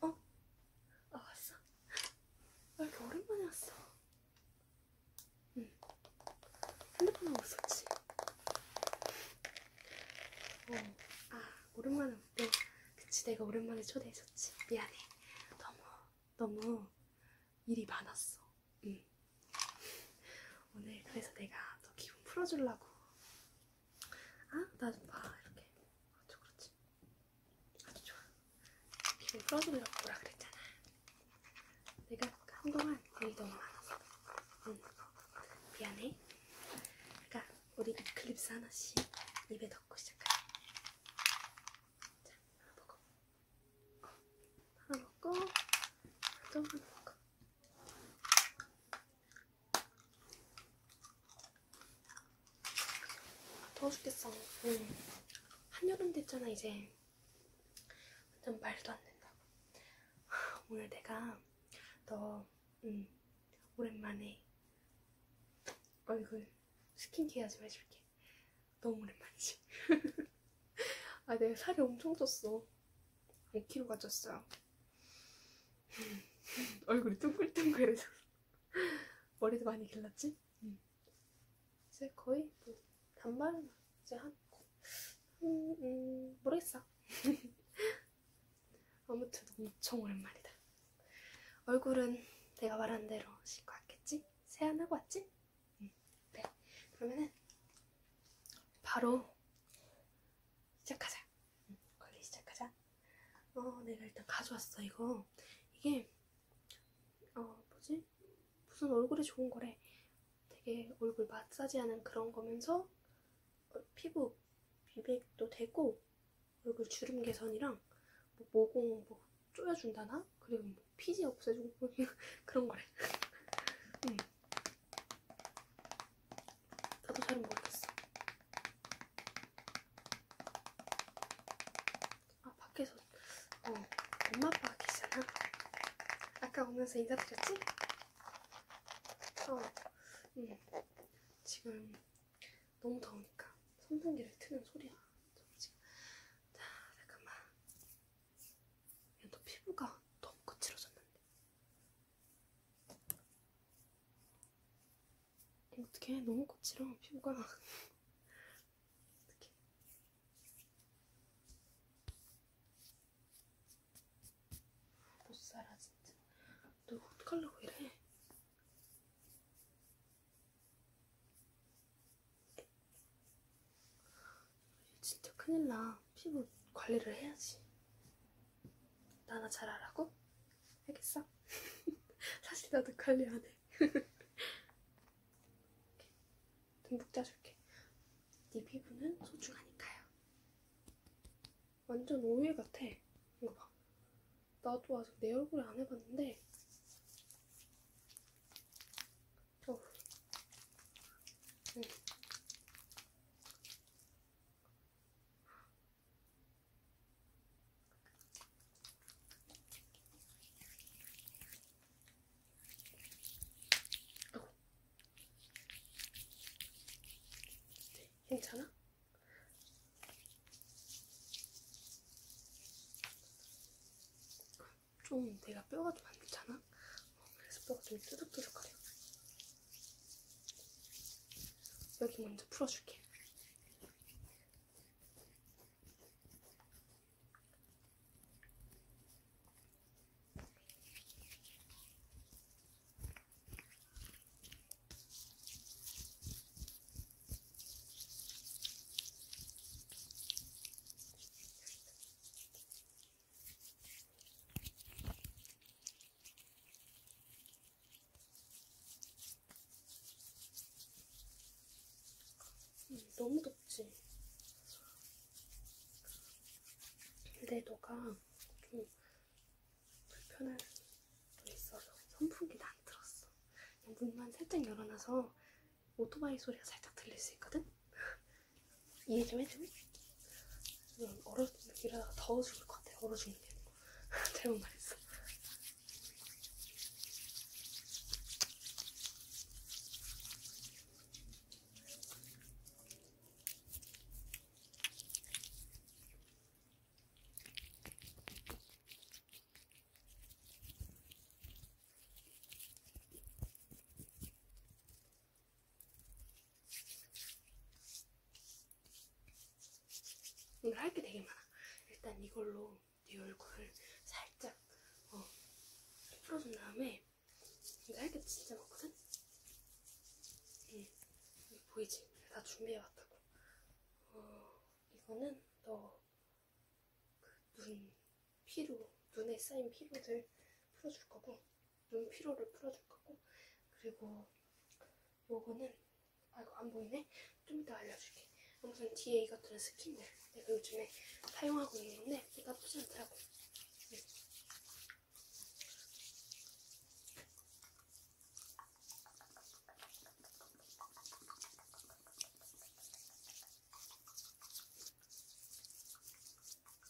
어? 아 왔어? 나 이렇게 오랜만에 왔어. 응. 핸드폰 하고 있었지? 어. 아 오랜만에 왔대. 그치 내가 오랜만에 초대했었지. 미안해. 너무 너무 일이 많았어. 응. 오늘 그래서 내가 너 기분 풀어주려고 아, 나좀 봐. 이렇게. 아주 그렇지. 아주 좋아. 기분 풀어주려고 뭐라 그랬잖아. 내가 한동안 일이 너무 많았어. 응. 미안해. 그러니까 우리 이클립스 하나씩 입에 넣고 시작하자. 자, 하나 먹어. 어, 하나 먹고, 또 하나 먹고. 더워 죽겠어. 응. 한여름 됐잖아, 이제. 완전 말도 안 된다고. 오늘 내가 너, 응, 오랜만에 얼굴 스킨케어 좀 해줄게. 너무 오랜만이지? 아, 내가 살이 엄청 쪘어. 5kg가 쪘어요. 얼굴이 둥글둥글해서 머리도 많이 길렀지? 응. 이제 거의 뭐 단발은 이제 한 음, 음, 모르겠어. 아무튼 엄청 오랜만이다. 얼굴은 내가 말한 대로 씻고 왔겠지? 세안하고 왔지? 응. 네. 그러면은 바로 시작하자. 응, 관리 시작하자. 어, 내가 일단 가져왔어, 이거. 이게, 어, 뭐지? 무슨 얼굴에 좋은 거래. 되게 얼굴 마사지하는 그런 거면서 어, 피부 미백도 되고, 얼굴 주름 개선이랑 뭐 모공 뭐 쪼여준다나? 그리고 뭐 피지 없애주고 그런 거래. 응. 나도 잘 모르겠어. 아 밖에서 어 엄마 아빠가 계시잖아. 아까 오면서 인사드렸지? 어, 응. 지금 너무 더우니까 선풍기를 트는 소리야. 지금. 자, 잠깐만. 야, 너 피부가 너무 거칠어졌는데. 어떻게 너무 거칠어 피부가 어떻게 못 살아 진짜 너 어떡하려고 이래 진짜 큰일 나 피부 관리를 해야지 나나 잘하라고? 알겠어? 사실 나도 관리 안 해. 듬뿍 짜줄게. 네 피부는 소중하니까요. 완전 오일 같아. 이거 봐. 나도 아직 내 얼굴에 안 해봤는데. 어. 응. 괜찮아? 좀 내가 뼈가 좀안 좋잖아? 어, 그래서 뼈가 좀 뚜둑뚜둑거려. 여기 먼저 풀어줄게. 너무 덥지? 근데 너가 좀 불편할 수도 있어서 선풍기는 안 틀었어. 그냥 문만 살짝 열어놔서 오토바이 소리가 살짝 들릴 수 있거든? 이해 좀 해줘. 그냥 얼어 이러다가 더워 죽을 것 같아. 얼어 죽는 게 아니고 잘못 말했어. 오늘 할게 되게 많아. 일단 이걸로 네 얼굴을 살짝 어, 풀어준 다음에 내가 할게 진짜 많거든? 응. 보이지? 다 준비해왔다고. 어, 이거는 너그눈 피로, 눈에 쌓인 피로들 풀어줄 거고 눈 피로를 풀어줄 거고 그리고 요거는 아이고 안 보이네? 좀 이따 알려줄게 아무튼 뒤에 이것들은 스킨들 내가 요즘에 사용하고 있는 건데 나쁘지 않더라고 응.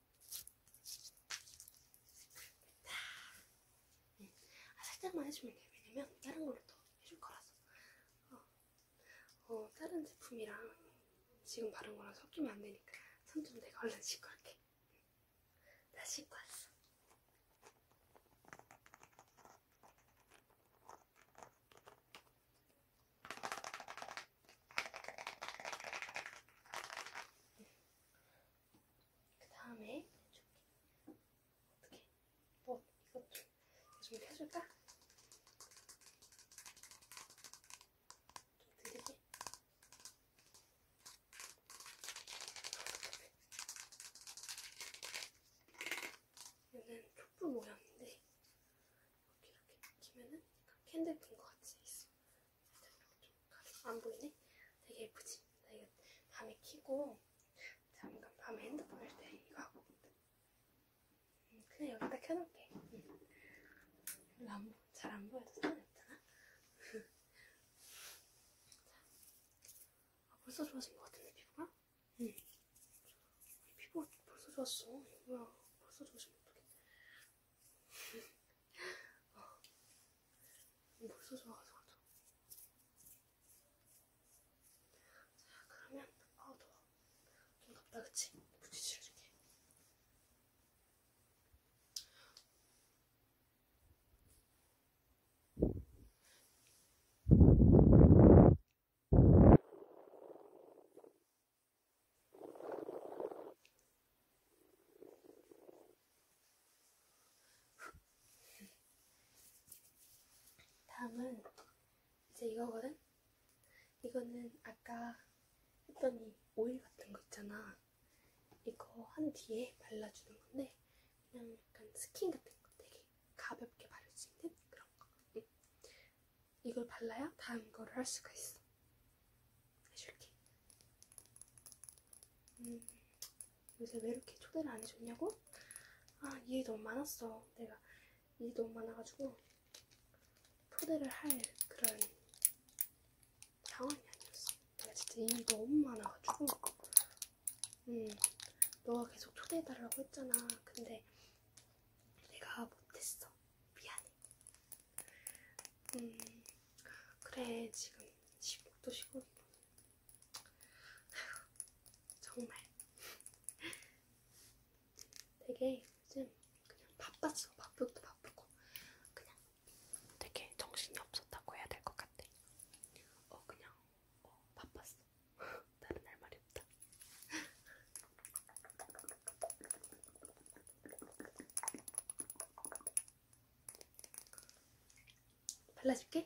네. 아, 살짝만 해주면 돼요. 왜냐면 다른 걸로 또 해줄 거라서. 어, 어 다른 제품이랑 지금 바른 거랑 섞이면 안 되니까 손좀 내가 얼른 씻고 할게. 나 씻고 왔어. 그 다음에 해줄게. 어떻게? 뭐 어, 이것도 좀 펴줄까? 좀 드릴게. 얘는 촛불 모양인데 이렇게 이렇게 키면은 캔들 끈것 같이 있어. 안 보이네? 되게 예쁘지? 나 이거 밤에 키고 잠깐 밤에 핸드폰 할 때 이거 하고 응, 음, 그냥 여기다 켜놓을게 응. 잘안 보여서 사냈잖아? 아, 벌써 좋아진 것 같은데 피부가? 응 피부가 벌써 좋았어 뭐야 벌써 좋아지면 어떡해 어. 벌써 좋아서 자, 그러면 아우 어, 더워. 좀 덥다 그치? 부지 실어줄게. 다음은 이제 이거거든? 이거는 아까 했던 이 오일 같은 거 있잖아. 이거 한 뒤에 발라주는 건데 그냥 약간 스킨 같은 거 되게 가볍게 바를 수 있는 그런 거. 이걸 발라야 다음 거를 할 수가 있어. 해줄게. 음, 요새 왜 이렇게 초대를 안 해줬냐고? 아, 일이 너무 많았어. 내가 일이 너무 많아가지고 초대를 할 그런 상황이 아니었어. 내가 진짜 일이 너무 많아가지고 음, 너가 계속 초대해달라고 했잖아. 근데 내가 못했어. 미안해. 음, 그래, 지금 시국도 시국이고. 정말. 되게 요즘 그냥 바빴어. 바쁘도 바쁘고. 그냥 되게 정신이 없었다고 해야 될 것 같아. 어, 그냥, 어, 바빴어. 다른 할 말이 없다. 발라줄게.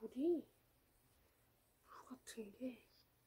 물이 물 같은 게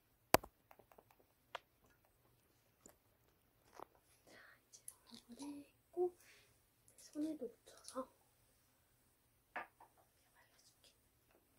자, 이제 얼굴에 했고 손에도 묻혀서 발라줄게. 줄게.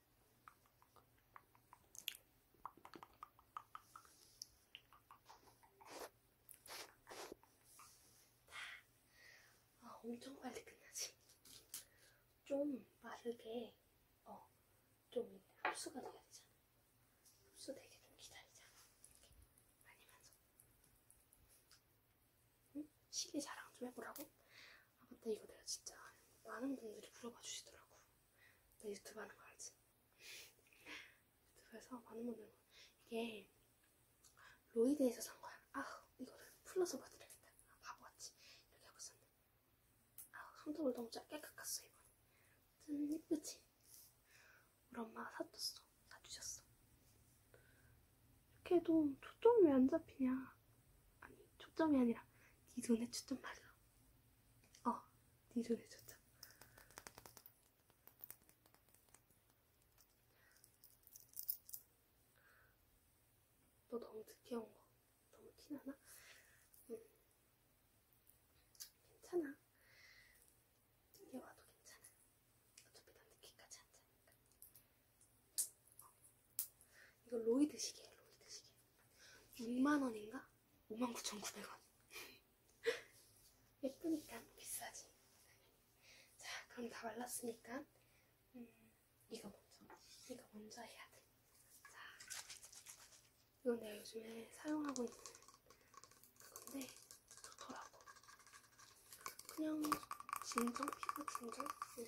아, 엄청 빨리 끝나지? 좀 빠르게, 어, 좀 흡수가 돼야 되잖아. 흡수되게 좀 기다리자. 이렇게. 많이 만져. 응? 시계 자랑 좀 해보라고? 아 맞다 이거 내가 진짜 많은 분들이 물어봐 주시더라고 나 유튜브 하는 거 알지? 유튜브에서 많은 분들 이게 로이드에서 산 거야 아 이거를 풀러서 봐드려야겠다 아, 바보같이 이렇게 하고 있었는데 아 손톱을 너무 짧게 깎았어 이번에 짠 예쁘지? 우리 엄마가 사줬어 사주셨어 이렇게 해도 초점이 왜 안 잡히냐 아니 초점이 아니라 네 눈에 초점 맞아. 어, 네 눈에 초점. 너 너무 늦게 온거 너무 티나나? 응. 괜찮아. 늦게 와도 괜찮아. 어차피 난 늦게까지 앉아니까. 어, 이거 로이드 시계예요, 로이드 시계. 6만원인가? 59,900원. 예쁘니까 비싸지. 자, 그럼 다 말랐으니까, 음, 이거 먼저, 이거 먼저 해야 돼. 자, 이건 내가 요즘에 사용하고 있는 그건데, 좋더라고. 그냥, 진정? 피부 진정? 응.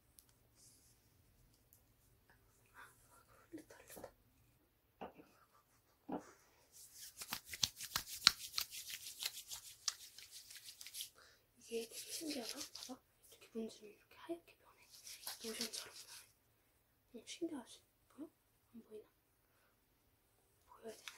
이게 되게 신기하다. 봐봐. 이렇게 문지면 이렇게 하얗게 변해. 모션처럼 변해. 응, 어, 신기하지? 보여? 안 보이나? 보여야 되는데.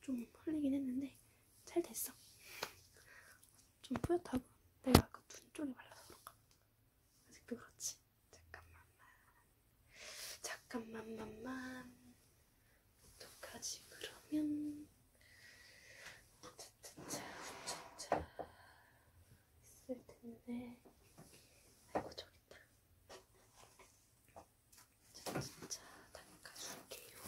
좀 흘리긴 했는데 잘 됐어. 좀 뿌옇다고 내가 아까 그 눈 쪽에 발라서 그런가? 아직도 그렇지. 잠깐만만 잠깐만만만 어떡하지 그러면 차차차 있을 텐데 아이고 저기 있다 자 진짜 닦아줄게요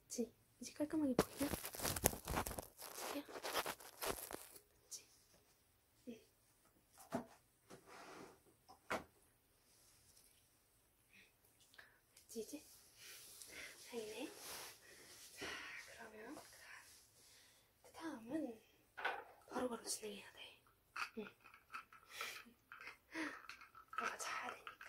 됐지? 이제 깔끔하게 보이나? 이렇게요? 그치? 네. 됐지 이제? 다행이네. 자, 그러면 그 다음은 바로바로 바로 진행해야 돼. 응. 너가 자야 되니까.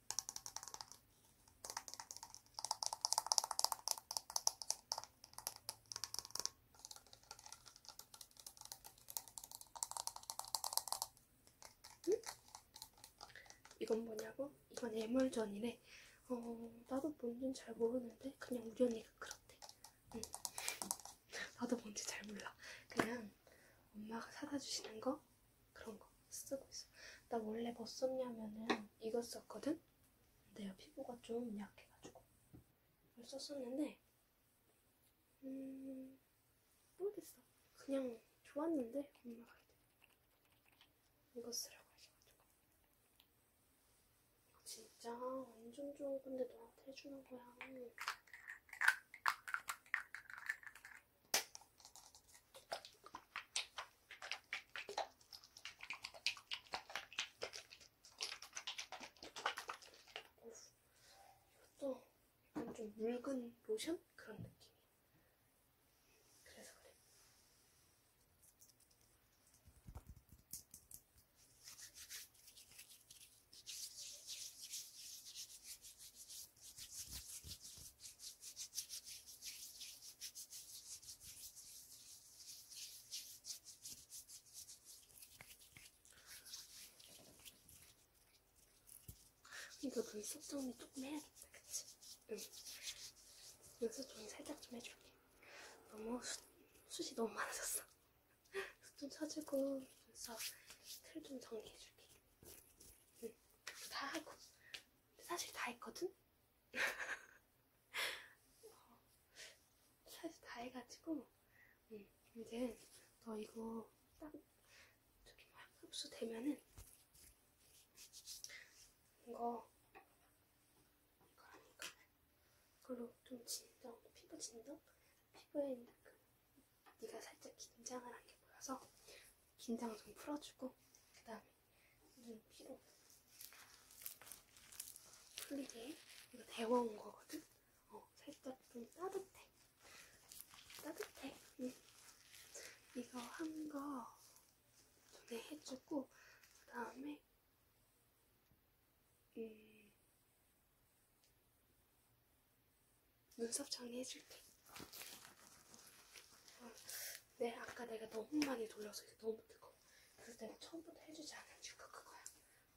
응? 이건 뭐냐고? 이건 애물전이래. 어, 나도 뭔진 잘 모르는데 그냥 우리 언니가 그렇대. 응. 나도 뭔지 잘 몰라. 그냥 엄마가 사다 주시는 거 그런 거 쓰고 있어. 나 원래 뭐 썼냐면은 이거 썼거든? 근데 피부가 좀 약해가지고. 이걸 썼었는데, 음, 모르겠어. 그냥 좋았는데, 엄마가 이거 쓰라고 하셔가지고. 진짜 완전 좋은 건데 너한테 해주는 거야. 이것도 약간 좀 묽은 로션? 그런 느낌. 그래서 그래. 이거 눈 속정리 조금 해야겠다, 그치? 응. 눈썹 정리 살짝 좀 해줄게. 너무 수, 숱이 너무 많아졌어. 숱 좀 쳐주고 눈썹 틀 좀 정리해줄게. 응. 다 하고 사실 다 했거든? 어, 사실 다 해가지고 응. 음, 이제 너 이거 딱 저기 뭐야 흡수되면은 이거 이거라니까 이걸로 좀 진정 피부 진정 피부에 있는 그 네가 살짝 긴장을 한 게 보여서 긴장 좀 풀어주고 그 다음에 이게 필요 풀리게 이거 데워온 거거든? 어, 살짝 좀 따뜻해. 따뜻해. 응. 이거 한 거 전에 해주고 그 다음에 음, 눈썹 정리해줄게. 어, 네, 아까 내가 너무 많이 돌려서 이게 너무 뜨거워. 그래서 내가 처음부터 해주지 않아주니까 그거야.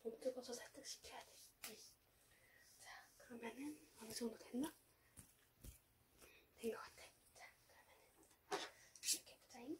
너무 뜨거워서 살짝 식혀야 돼. 응. 자, 그러면은 어느 정도 됐나? 된 것 같아. 자, 그러면은 이렇게 보자잉.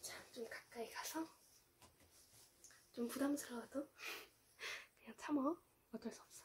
자, 좀 가까이 가서 좀 부담스러워도 그냥 참어. 어쩔 수 없어.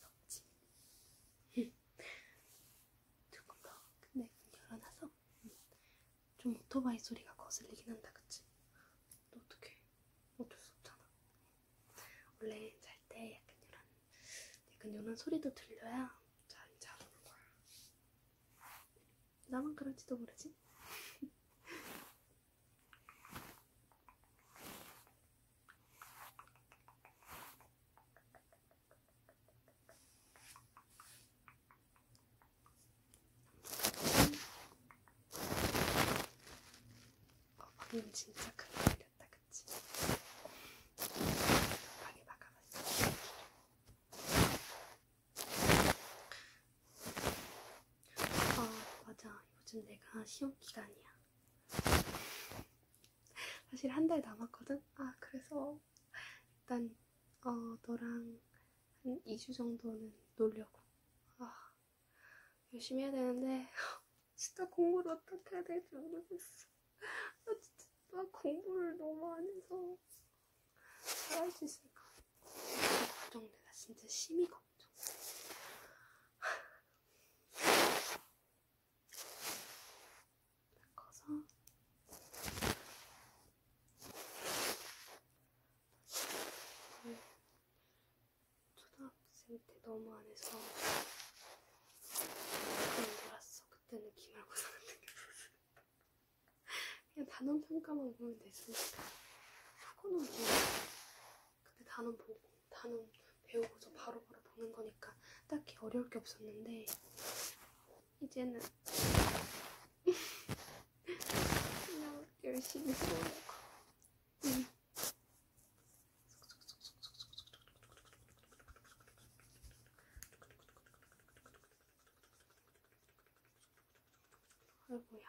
그렇지. 응. 조금 더. 근데 열어놔서 응. 좀 오토바이 소리가 거슬리긴 한다, 그치? 너 어떡해. 어쩔 수 없잖아. 원래 잘 때 약간 이런, 약간 이런 소리도 들려야 잘 자는 거야. 나만 그런지도 모르지? 어, 방금 진짜 큰일 났다, 그치? 방에 막아놨어. 아 맞아 요즘 내가 시험 기간이야. 사실 한 달 남았거든. 아 그래서 일단 어 너랑 한 2주 정도는 놀려고. 아 열심히 해야 되는데 진짜 공부를 어떻게 해야 될지 모르겠어. 나 진짜 나 공부를 너무 안 해서 잘 할 수 있을까? 걱정돼. 나 진짜 심히 걱정. 닦아서 초등학생 때 너무 안 해서 그냥 놀았어. 그때는 기말고사 같은 게 무슨 그냥 단원 평가만 보면 되지. 하고 놀고 근데 단원 보고 단원 배우고서 바로바로 보는 거니까 딱히 어려울 게 없었는데 이제는 그냥 열심히 보려고 응. 음. 아이고야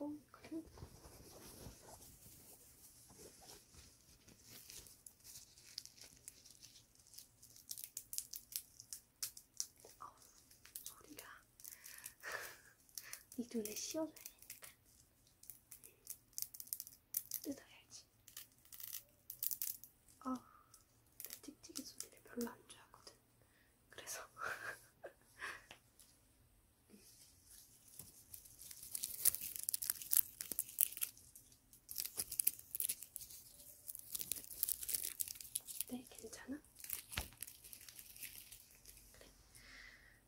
그리고 그리고 어, 소리가 네 눈에 씌워줘야 되니까. 뜯어야지. 아, 내 찍찍이 소리를 별로 안 좋아하거든. 그래서. 네, 괜찮아? 그래.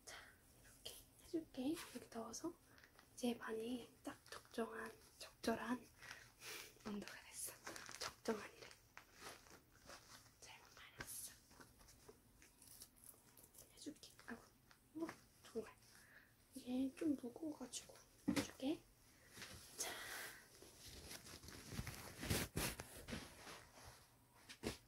자, 이렇게 해줄게. 이렇게 넣어서 이제 반이 딱 적정한, 적절한 온도가 됐어. 적정한이래. 잘못 말했어. 해줄게. 아고, 뭐, 정말. 이게 좀 무거워가지고 해줄게. 자,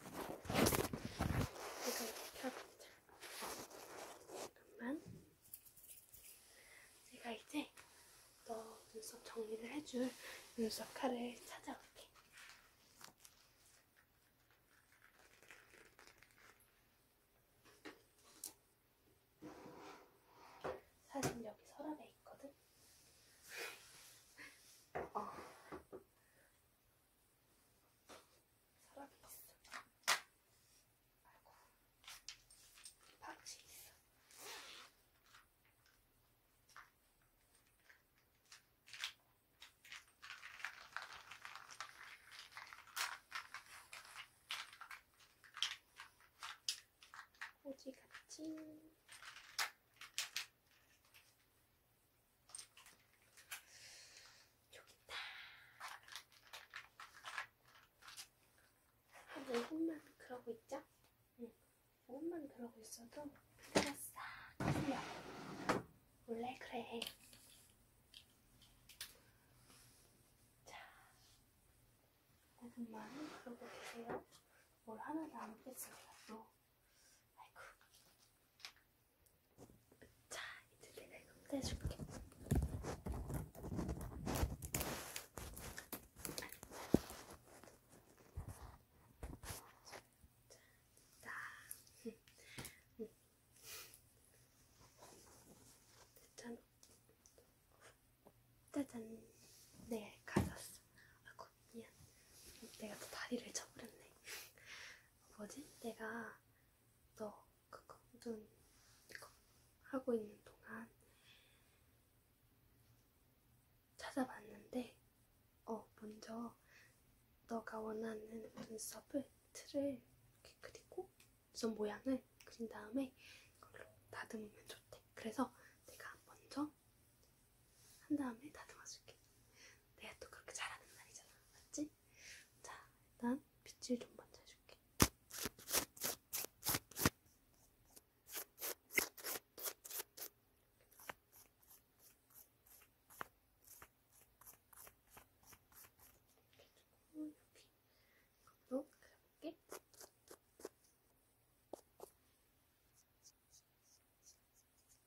이거 펴보자. 잠깐만. 제가 이제 너 눈썹 정리를 해줄 눈썹 칼을 찾아올게. 사실 여기 서랍에 있거든? 어. 사람이 있어. 아이고. 박쥐 있어. 오지 같이. 좋겠다. 근데 혼만 그러고 있죠? 응. 혼만 그러고 있어도 피가 싹 풀려. 원래 그래. 자, 오분만 그러고 계세요. 뭘 하나도 안 먹겠습니다. 또. 아이고. 자, 이제 내가 이거 떼줄게. 자, 응. 짜잔. 짜잔. 네, 가졌어. 아고 미안. 내가 또 다리를 쳐버렸네. 뭐지? 내가 너 그거 눈 이거 하고 있는 동안 찾아봤는데 어 먼저 너가 원하는 눈썹을 틀을 이렇게 그리고 눈썹 모양을 그린 다음에 이걸로 다듬으면 좋대. 그래서 내가 먼저 한 다음에 다듬어줄게. 내가 또 그렇게 잘하는 날이잖아. 맞지? 자, 일단 빗질 좀 먼저 해줄게. 여기 이것도 그려볼게. 자,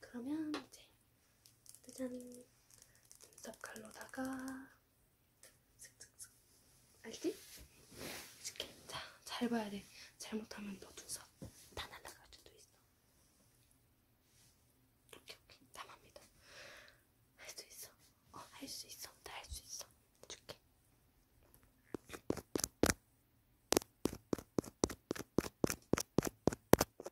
그러면 이제 짜잔 눈썹 칼로다가 슥슥슥 알지? 이렇게 자잘 봐야 돼. 잘못하면 너 눈썹 다 날아갈 수도 있어. 오케이 오케이 담합니다. 할수 있어. 어 할 수 있어. 다 할 수 있어. 줄게.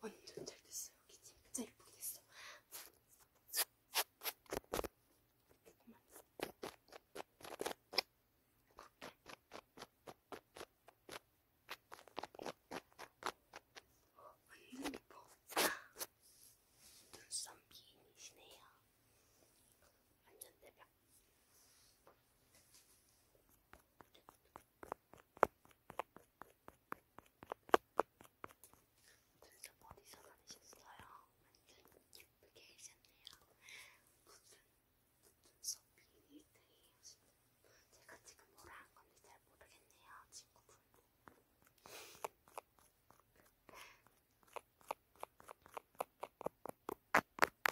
완전 잘 됐어. 여기 진짜 예쁘게 됐어. 완전 예뻐. 눈썹 미인이시네요. 완전 대박. 진짜 어디서 다니셨어요? 완전 예쁘게 해셨네요. 무슨, 무슨 소핑이 되요 제가 지금 뭐라 한 건지 잘 모르겠네요, 친구분.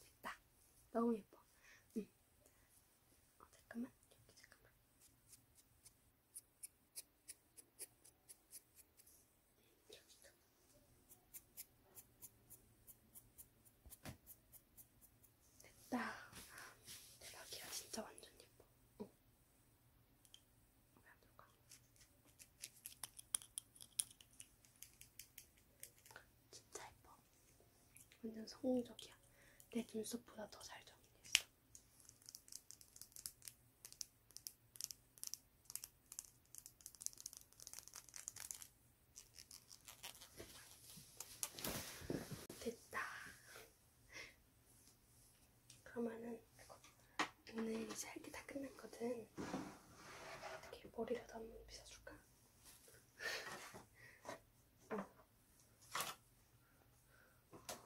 됐다. 너무 예뻐. 응. 어, 잠깐만. 여기 잠깐만. 여기도. 됐다. 대박이야. 진짜 완전 예뻐. 어. 왜안 될까? 진짜 예뻐. 완전 성공적이야. 내 눈썹보다 더 잘 정리했어. 됐다. 그러면은 오늘 이제 할게 다 끝났거든. 어떻게 머리라도 한번 빗어줄까? 응. 어.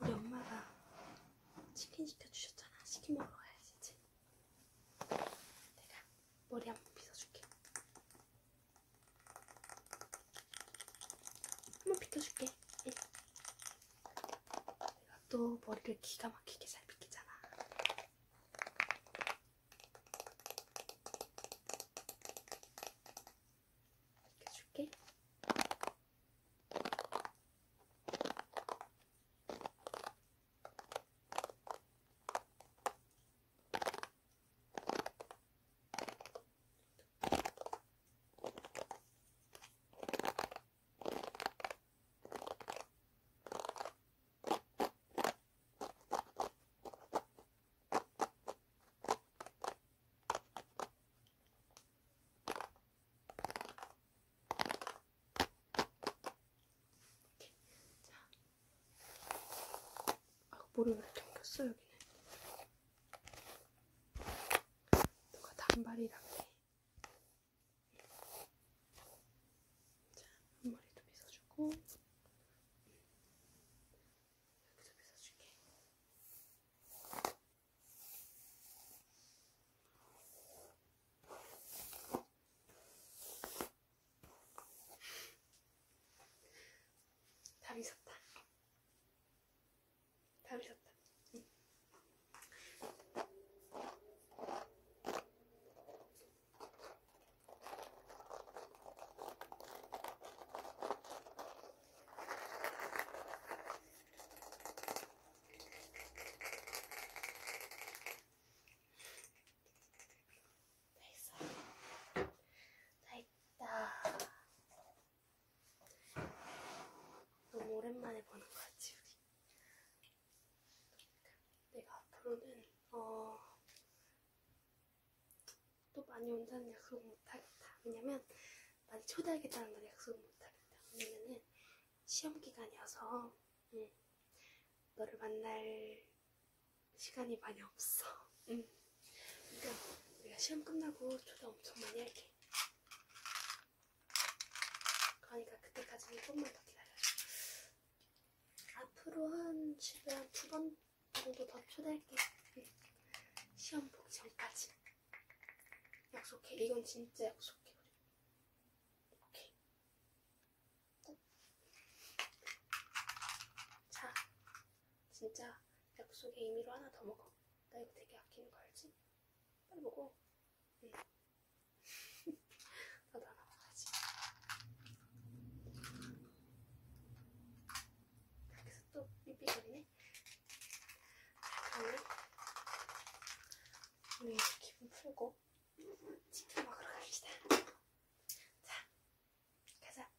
우리 엄마가 치킨 시켜주셨잖아. 치킨 먹으러 가야지. 이제. 내가 머리 한번 빗어줄게. 한번 빗겨줄게. 응. 예. 내가 또 머리를 기가 막히게 잘 빗기잖아. 이렇게 줄게. 악보를 왜 당겼어 여기는 누가 단발이라고 해 자, 앞머리도 빗어주고 음. 여기도 빗어줄게. 다 빗었다. 담으셨다. 응. 다 있어. 다 있다. 너무 오랜만에 보는 거지 우리. 내가 앞으로는 어, 또 많이 온다는 약속 못하겠다. 왜냐면 많이 초대하겠다는 걸 약속 못하겠다. 왜냐면은 시험 기간이어서 응. 너를 만날 시간이 많이 없어. 응. 그러니까 내가 시험 끝나고 초대 엄청 많이 할게. 그러니까 그때까지는 조금만 더 기다려줘. 앞으로 한 집에 한두번 정도 더 초대할게. 시험 보기 전까지. 약속해. 이건 진짜 약속해. 오케이. 자, 진짜 약속의 의미로 하나 더 먹어. 나 이거 되게 아끼는 거 알지? 빨리 먹어. 나도 하나 먹어야지. 여기서 또 삐삐거리네. 그러면 우리 기분 풀고 치킨 먹으러 갑시다. 자, 가자.